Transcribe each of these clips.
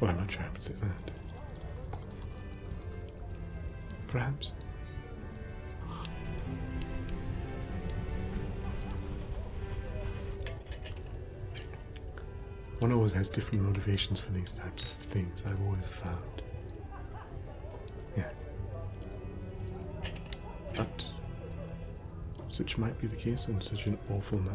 Well, I'm not sure I would say that. Perhaps. One always has different motivations for these types of things, I've always found. Yeah. But, such might be the case on such an awful night.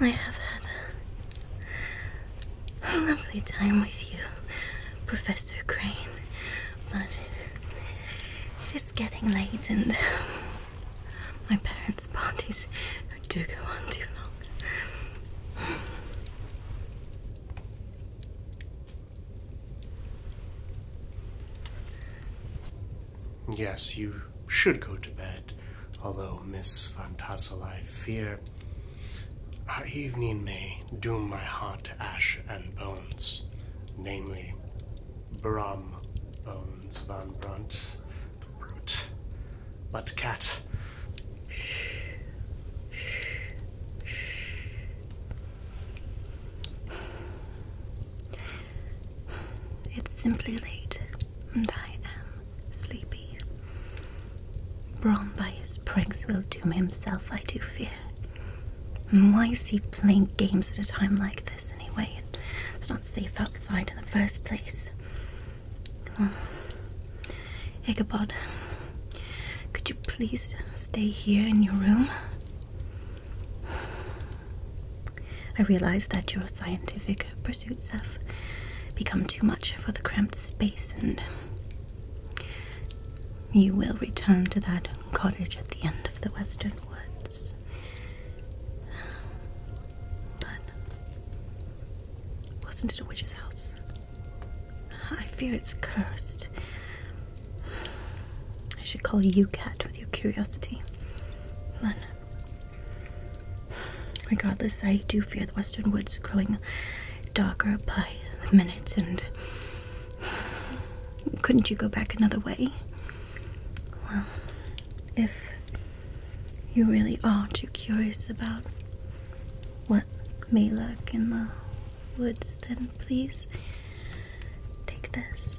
I have had a lovely time with you, Professor Crane, but it is getting late and my parents' parties do go on too long. Yes, you should go to bed, although, Miss Van Tassel, I fear our evening may doom my heart to ash and bones, namely, Brom bones. Hans van Brute. But cat. It's simply late, and I am sleepy. Brom by his pranks will doom himself, I do fear. why is he playing games at a time like this anyway? safe outside in the first place. Well, Ichabod, could you please stay here in your room? I realize that your scientific pursuits have become too much for the cramped space, and you will return to that cottage at the end of the western woods. But wasn't it a witch's house? I fear it's cursed. I should call you cat with your curiosity. But regardless, I do fear the western woods growing darker by the minute, and couldn't you go back another way? Well, if you really are too curious about what may lurk in the woods, then please take this.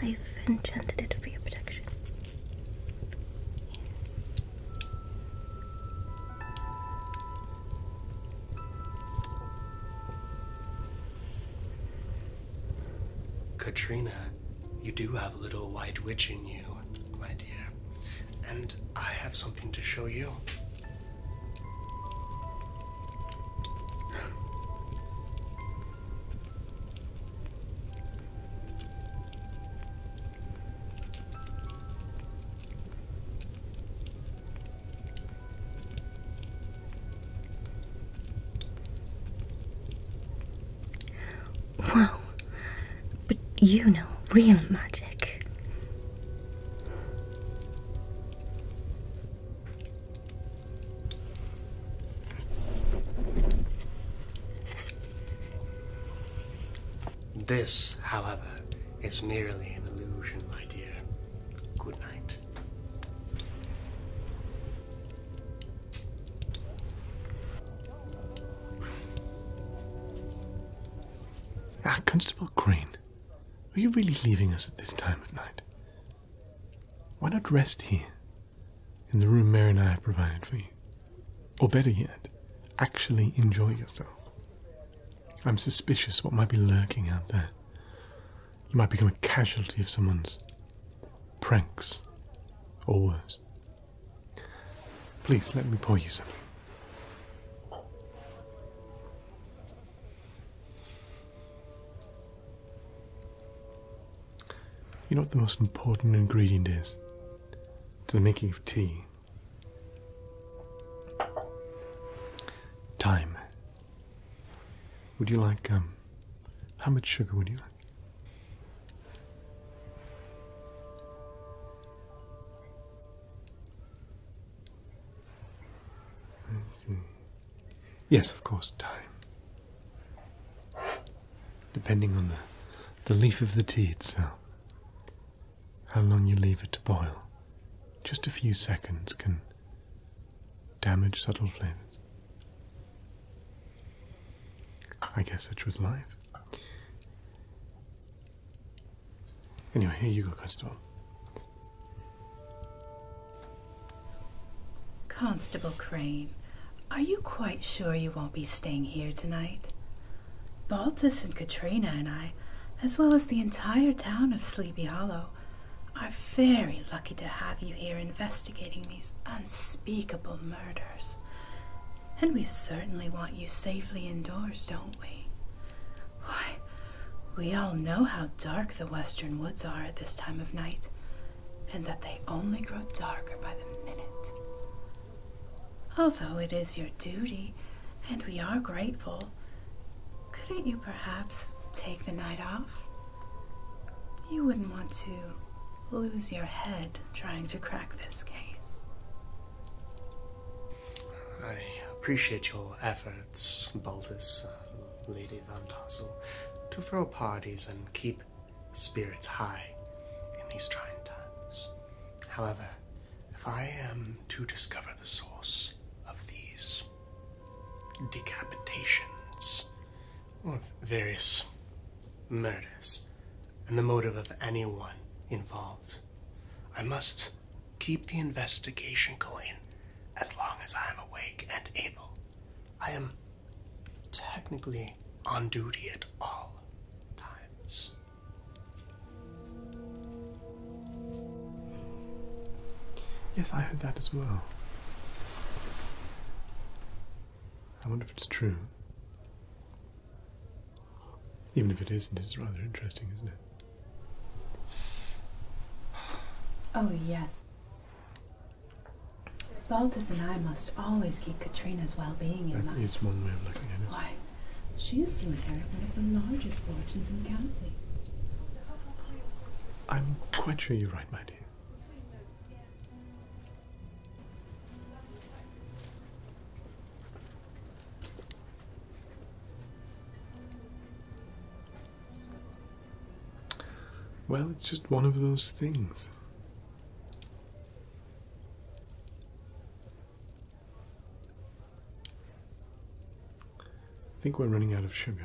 I've enchanted it for your protection. Katrina, you do have a little white witch in you, my dear, and I have something to show you. Wow, but you know real magic. This, however, is merely an illusion, my dear. Good night. Ah, Constable Green. Are you really leaving us at this time of night? Why not rest here, in the room Mary and I have provided for you? Or better yet, actually enjoy yourself. I'm suspicious what might be lurking out there. You might become a casualty of someone's pranks, or worse. Please let me pour you something. You know what the most important ingredient is to the making of tea? Time. Would you like, um, how much sugar would you like? Yes, of course, time. Depending on the, the leaf of the tea itself. How long you leave it to boil. Just a few seconds can damage subtle flavors. I guess such was life. Anyway, here you go, Constable. Constable Crane, are you quite sure you won't be staying here tonight? Baltus and Katrina and I, as well as the entire town of Sleepy Hollow, are very lucky to have you here investigating these unspeakable murders. And we certainly want you safely indoors, don't we? Why, we all know how dark the western woods are at this time of night, and that they only grow darker by the minute. Although it is your duty, and we are grateful, couldn't you perhaps take the night off? You wouldn't want to lose your head trying to crack this case. I appreciate your efforts, Baltus, uh, Lady Van Tassel, to throw parties and keep spirits high in these trying times. However, if I am to discover the source of these decapitations, or various murders, and the motive of anyone involved, I must Keep the investigation going as long as I am awake and able. I am technically on duty at all times. Yes, I heard that as well. I wonder if it's true. Even if it isn't, it's rather interesting, isn't it? Oh, yes. Baltus and I must always keep Katrina's well-being in mind. It's one way of looking at it. Why, she is to inherit one of the largest fortunes in the county. I'm quite sure you're right, my dear. Well, it's just one of those things. I think we're running out of sugar.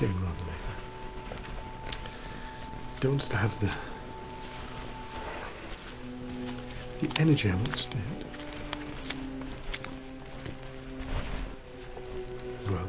Getting rather late. Don't have the the energy I once did. Well,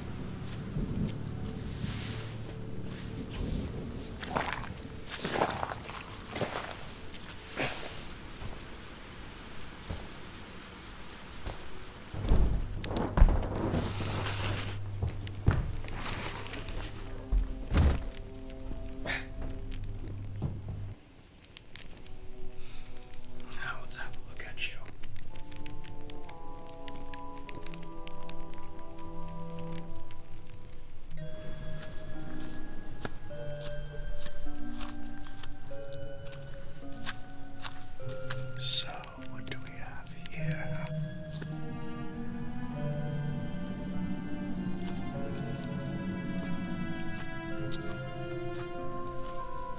Now let's have a look at you. So, what do we have here?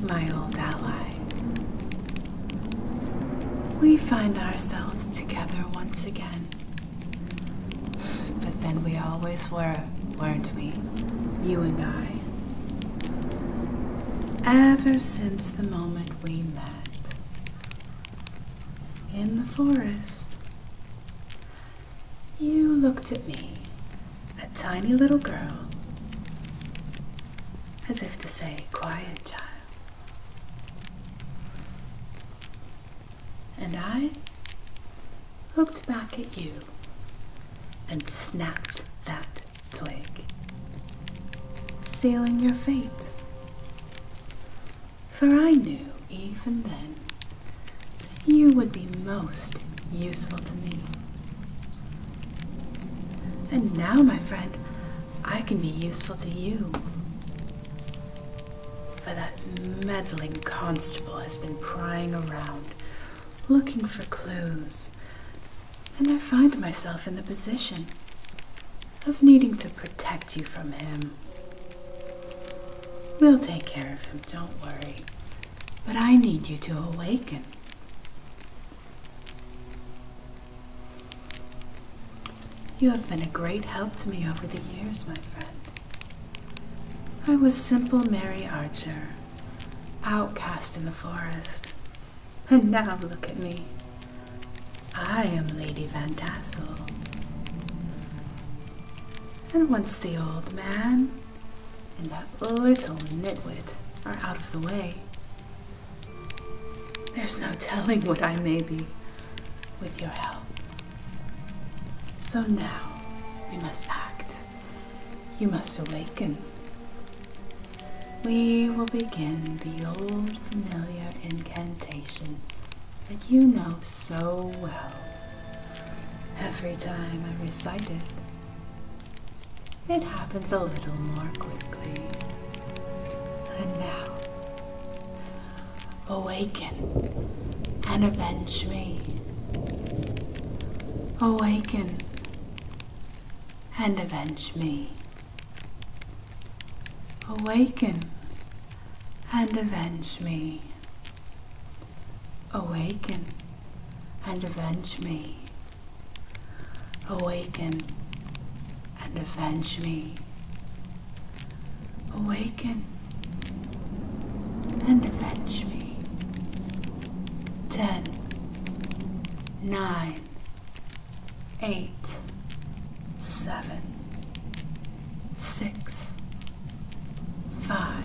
my old ally. We find ourselves together once again. But then we always were, weren't we? You and I. Ever since the moment we met. In the forest. You looked at me a tiny little girl, as if to say, Quiet, child. And I looked back at you and snapped that twig, sealing your fate. For I knew even then that you would be most useful to me and now, my friend, I can be useful to you. For that meddling constable has been prying around, looking for clues, and I find myself in the position of needing to protect you from him. We'll take care of him, don't worry. But I need you to awaken. You have been a great help to me over the years, my friend. I was simple Mary Archer, outcast in the forest. And now look at me. I am Lady Van Tassel. And once the old man, and that little nitwit are out of the way. There's no telling what I may be with your help. So now we must act. You must awaken. We will begin the old familiar incantation that you know so well. Every time I recite it, it happens a little more quickly. And now, awaken and avenge me. Awaken and avenge me. Awaken and avenge me. Awaken and avenge me. Awaken and avenge me. Awaken and avenge me. Ten, nine, eight, seven, six, five,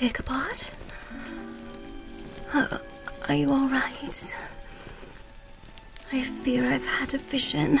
Ichabod? are you alright? I fear I've had a vision.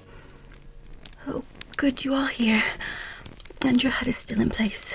Oh, good, you are here. And your head is still in place.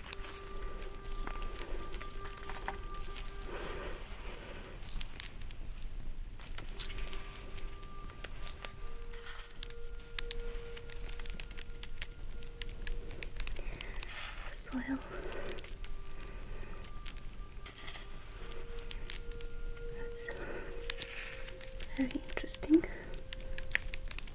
soil that's very interesting.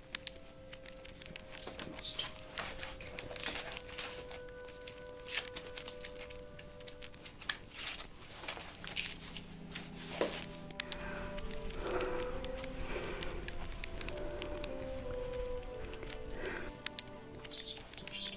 the most documents here. This is not interesting.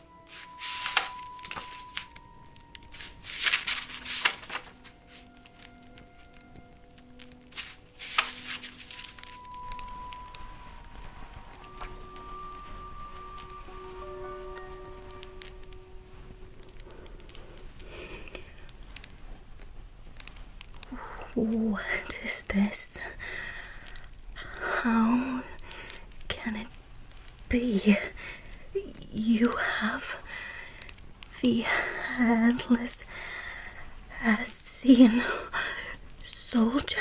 What is this? How can it be. You have the headless Essene soldier.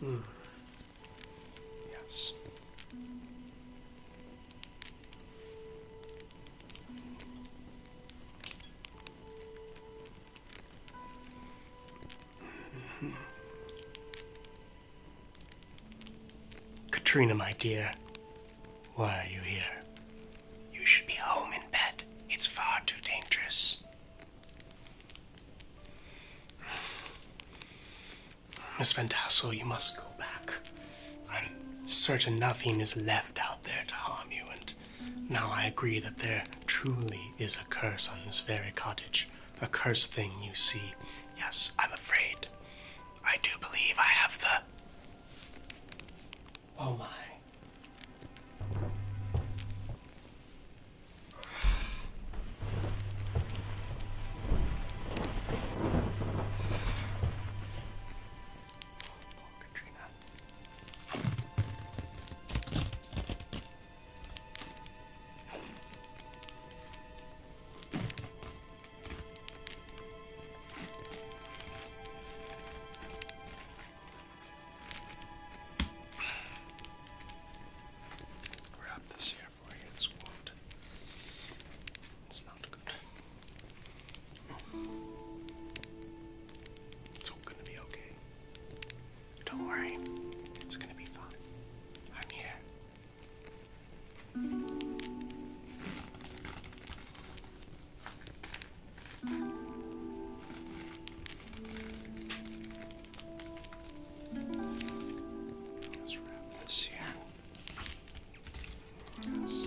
Hmm. Yes. Katrina, my dear, why are you here? You should be home in bed. It's far too dangerous. Miss Van Tassel, you must go back. I'm certain nothing is left out there to harm you, and now I agree that there truly is a curse on this very cottage, a cursed thing you see. Yes, I'm afraid. I do believe I have the. Oh my. Oh, Wrap this here for you, It's not good. It's all gonna be okay. Don't worry, it's gonna be fine. I'm here. Let's wrap this here. Yes.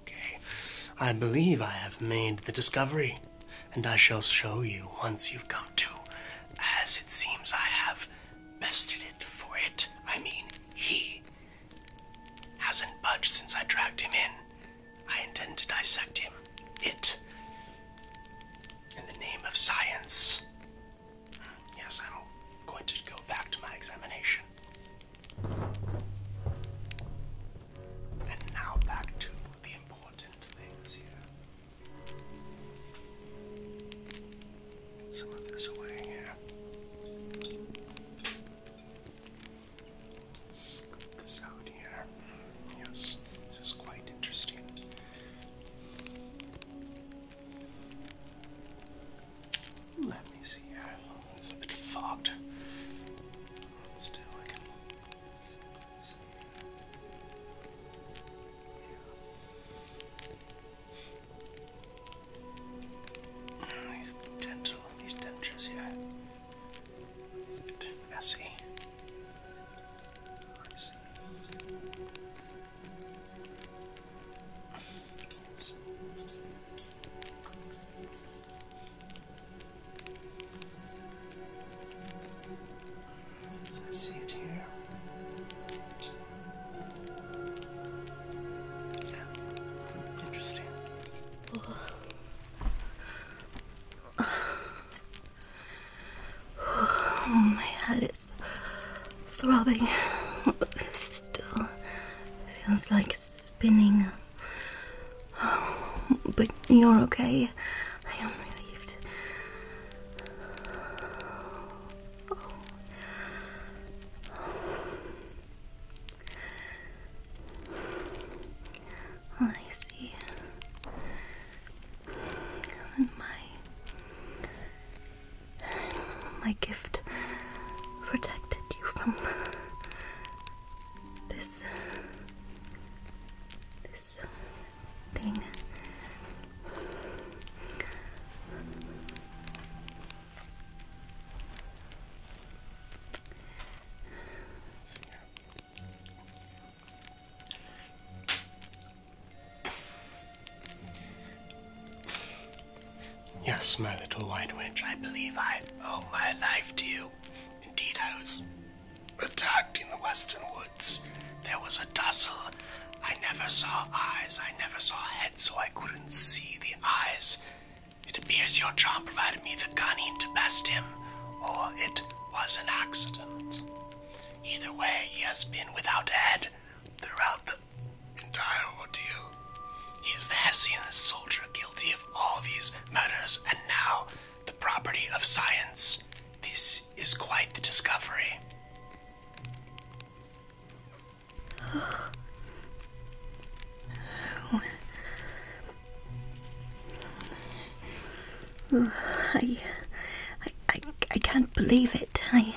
okay? I believe I have made the discovery, and I shall show you once you've come to. As it seems I have bested it for it. I mean, he hasn't budged since I dragged him in. I intend to dissect him, it, in the name of science. Yes, I'm going to go back to my examination. And now back to the important things here. Some of this away here. Let's scoop this out here. Yes, this is quite interesting. Let me see here. It's a bit fogged. Still, I can these ah, dental, these dentures here. It's a bit messy. As I see it here. Yeah. Interesting. Oh, my head is throbbing. Still feels like spinning. but you're okay. I am relieved. Oh. I see. my my gift protected you from this this thing. Yes, my little white witch, I believe I owe my life to you. Indeed, I was attacked in the western woods. There was a tussle. I never saw eyes, I never saw a head, so I couldn't see the eyes. It appears your charm provided me the cunning to best him, or it was an accident. Either way, he has been without a head throughout the entire ordeal. He is the Hessian soldier guilty of all these murders, and now the property of science. This is quite the discovery. Oh. I, I, I can't believe it. I,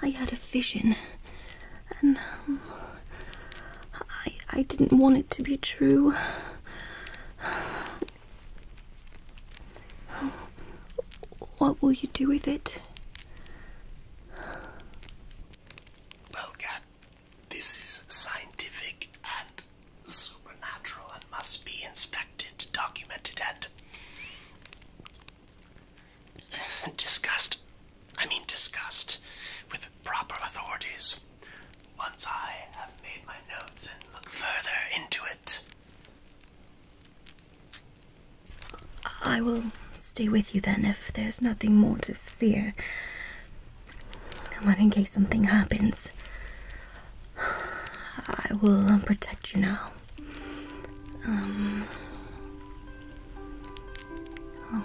I had a vision, and um, I, I didn't want it to be true. What will you do with it? Well, this is scientific and supernatural and must be inspected, documented, and discussed. I mean, discussed with proper authorities. Once I have made my notes and look further into it. I will stay with you then if there's nothing more to fear. Come on, in case something happens. I will um, protect you now. Um. Oh.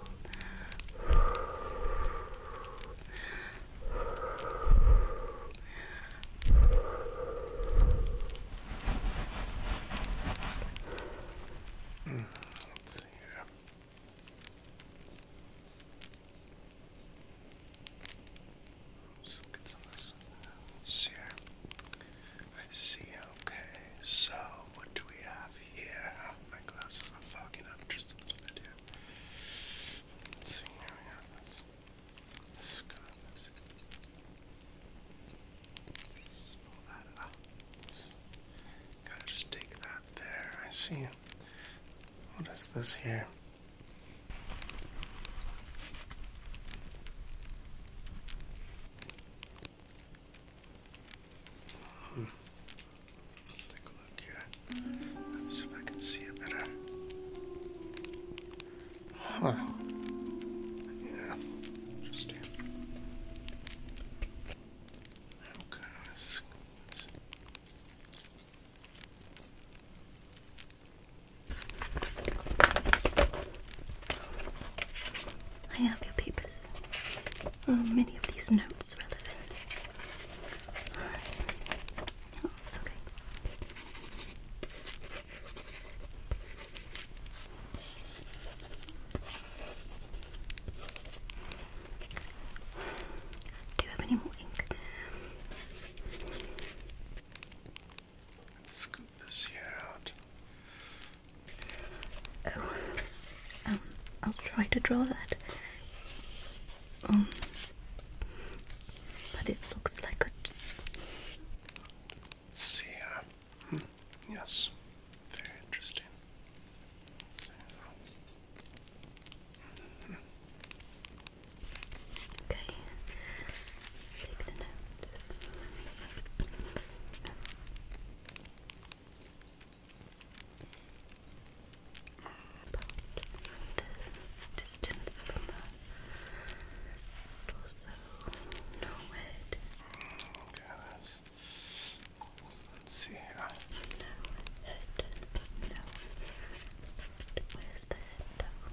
Let's see here. Let's look some Let's see here. I see. Okay. So, what do we have here. My glasses are fogging up just a little bit here. see, here we Let's go, let just take that there. I see. What is this here? take a look here. see if I can see it better. Huh. Yeah. Interesting. Okay, let's I have your papers are oh, many of these notes relevant? Oh, Do you have any more ink? scoop this here out. Oh. I'll try to draw that. Um, but it looks like a. See, uh, hmm, yes, very interesting. Okay, about this distance from us, and also know Okay, let's, see here. Know it, know it. Where's the head down?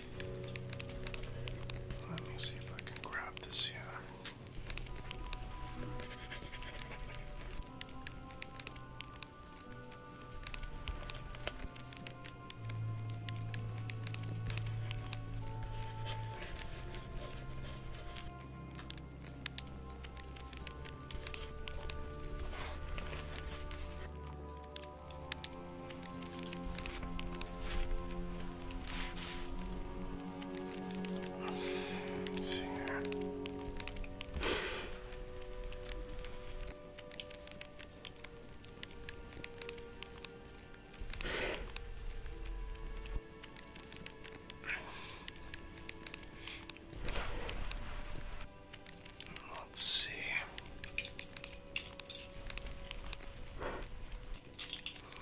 Let me see if I can grab this here. Let's see here. Let's see.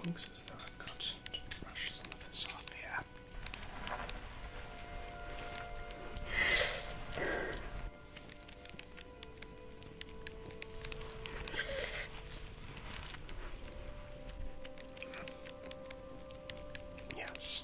Looks as though I've got to brush some of this off here. Yes,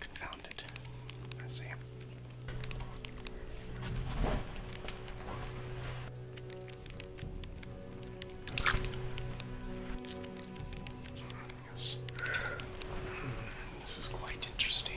Confounded. I see. Yes. This is quite interesting.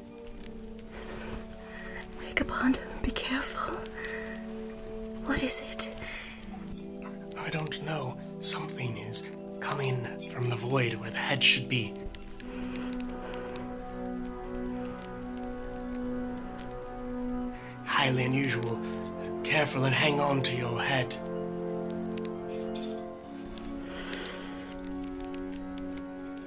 Wake up, Bond. be careful. What is it? I don't know. Something is coming from the void where the head should be. Highly unusual. Careful and hang on to your head.